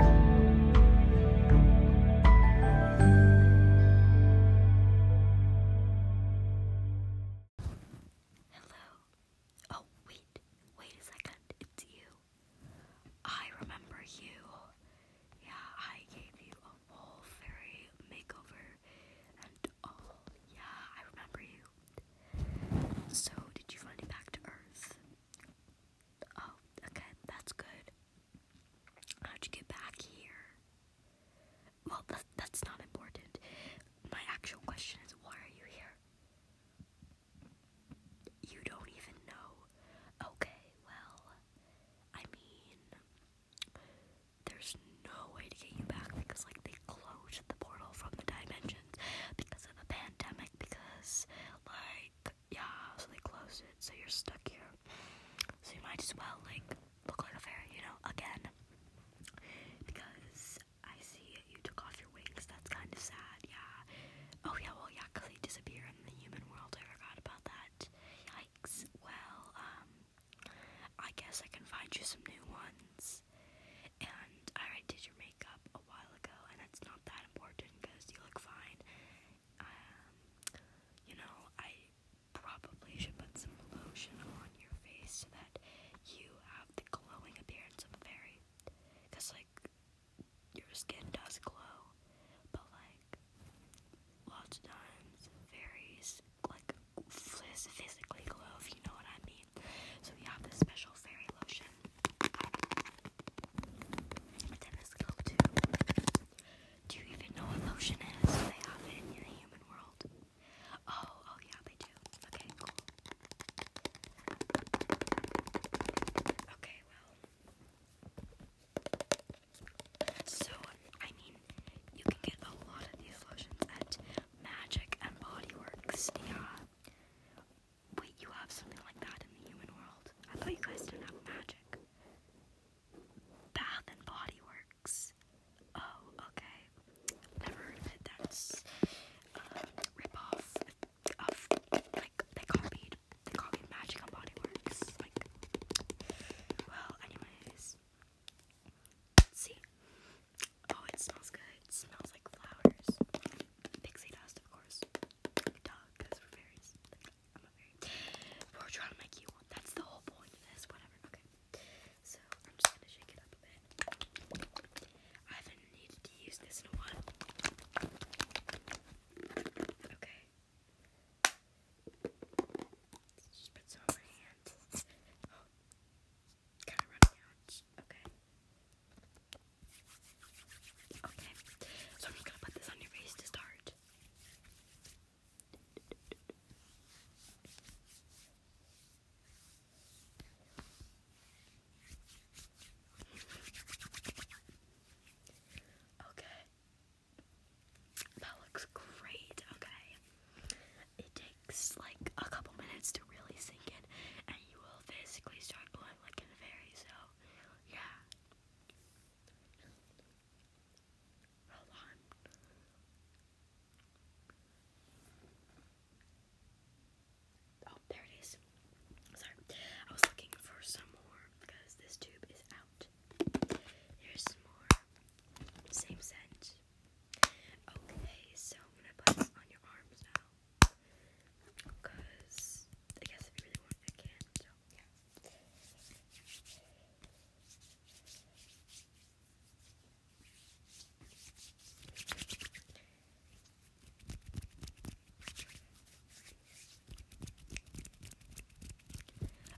Hello. Oh, wait. Wait a second. It's you. I remember you. Yeah, I gave you a whole fairy makeover and all. Yeah, I remember you. So, did you find it back to Earth? Oh, okay, that's good. How'd you get back here? Well, th that's not important. My actual question is why are you here? You don't even know. Okay, well, I mean, there's no way to get you back because, like, they closed the portal from the dimensions because of a pandemic, because, like, yeah, so they close it, so you're stuck here. So you might as well, like, look like a fairy, you know, again. Because I see you took off your wings, that's kind of sad, yeah. Oh, yeah, well, yeah, because they disappear in the human world, I forgot about that. Yeah. Well, um, I guess I can find you some new ones. And I did your makeup a while ago, and it's not that important because you look fine. Um, you know, I probably should put some lotion on your face so that you have the glowing appearance of a fairy. Because, like, your skin does glow, but, like, lots of times fairies, like, physically glow, if you know what I mean. So, we have this special fairy lotion Telescope Do you even know what lotion is? they have it in the human world? Oh, oh yeah, they do. Okay, cool. Okay, well. So, I mean, you can get a lot of these lotions at Magic and Body Works, yeah. Wait, you have something like that in the human world? I thought you guys didn't have magic. Bath and Body Works. Oh, okay. Never heard of it. ripoff of like they copied they copied Magic and Body Works. Like, well, anyways, let's see. Oh, it smells good. smells like flowers. Pixie dust, of course dog because we're very, I'm a very, we're trying to make you one. That's the whole point of this, whatever. Okay, so I'm just gonna shake it up a bit. I haven't needed to use this in a while. Okay. let on my hand. Oh. kind of running out. Okay. Okay, so I'm just gonna put this on your face to start. Okay, that looks great. Okay, it takes like a couple minutes to really sink in, and you will physically start glowing like a fairy. So, yeah, Oh, there it is. Sorry, I was looking for some more because this tube is out. Here's more. Same scent. Okay, so I'm gonna put it on your arms now. Because I guess if you really want, I can. So yeah.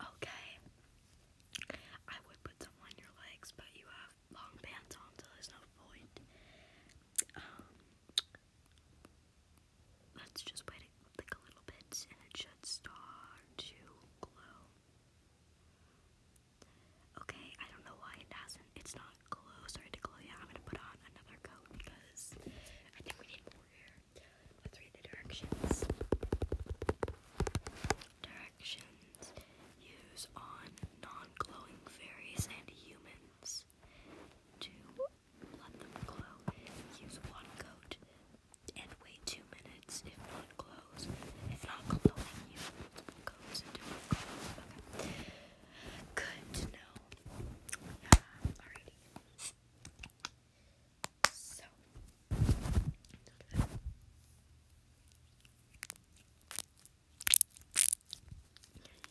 Okay. I would put some on your legs, but you have long pants on, so there's no point. Um, let's just wait like a little bit and it should start to glow. Okay, I don't know why it hasn't. It's not glow, started to glow yet. I'm gonna put on another coat because I think we need more here. Let's read the directions. Directions use on non glowing fairies and humans coats. To let them glow, use one coat and wait two minutes if not glows. If not glowing, use multiple coats and do not glow. Good to Yeah, alrighty. So,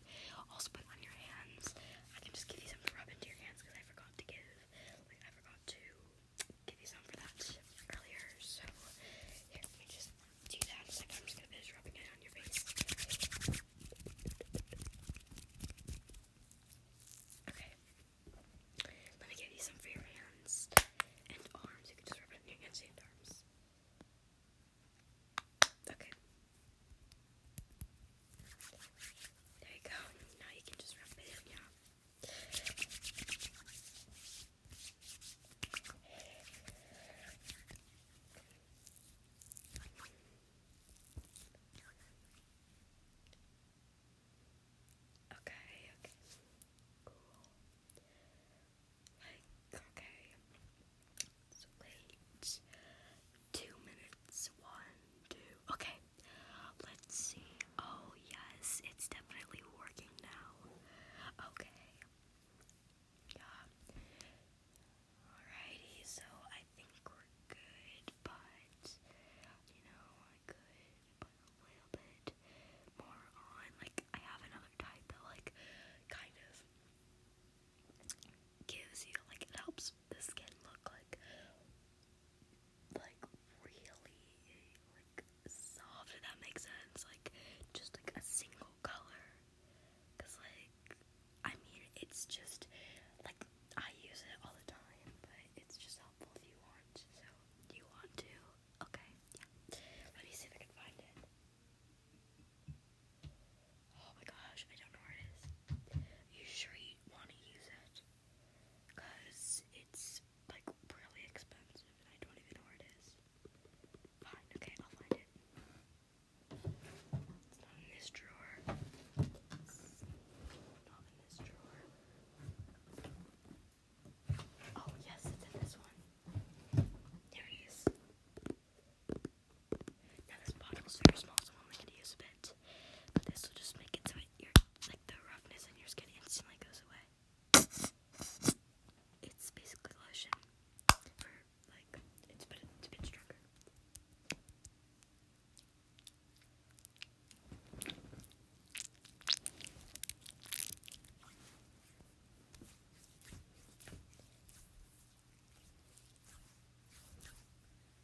effect. Also put on your hands. I can just give you some to rub into your hands because I forgot to give, I forgot to give you some for that earlier. So here, let just do that. I'm just gonna finish rubbing it on your face. Okay. Let me give you some for your hands and arms. You can just rub it in your hands and arms. Okay. There you go. Now you can just wrap it in, yeah. Okay, okay. Cool. Like, okay wait. Two minutes. One, two. Okay. Let's see. Oh, yes. It's definitely working now. Okay. Yeah. Alrighty. So I think we're good, but you know, I could put a little bit more on. Like, I have another type that, like, kind of gives you like it helps the skin look like like really like soft if that makes sense like just like a single color cause like I mean it's just like I use it all the time but it's just helpful if you want so you want to okay yeah let me see if I can find it Oh my gosh, I don't know where it is. You sure you want to use it? Because it's like really expensive and I don't even know where it is. Fine, okay, I'll find it. It's not in this drawer. It's not in this drawer. Oh, yes, it's in this one. There it is. Now this bottle very small, so I'm only gonna use a bit. But this will just make it so your like the roughness in your skin instantly goes away. It's basically lotion for like it's but it's a bit stronger.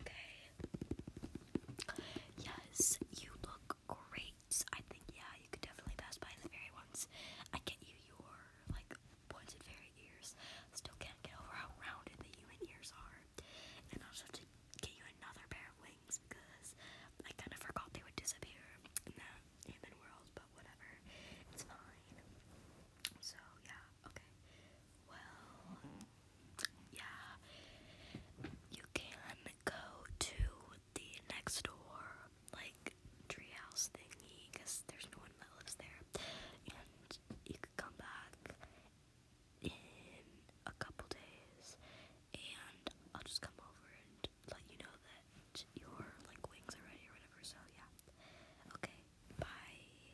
Okay. Yes, you look great. I think yeah, you could definitely pass by the fairy ones. I get you your like pointed fairy ears. Still can't get over how rounded the human ears are. And I'll just have to get you another pair of wings because I kind of forgot they would disappear in the human world. But whatever, it's fine. So yeah, okay. Well. Mm-hmm yeah, you can go to the next door, like, treehouse thingy, because there's no one that lives there, and you could come back in a couple days, and I'll just come over and let you know that your, like, wings are ready or whatever, so yeah, okay, bye.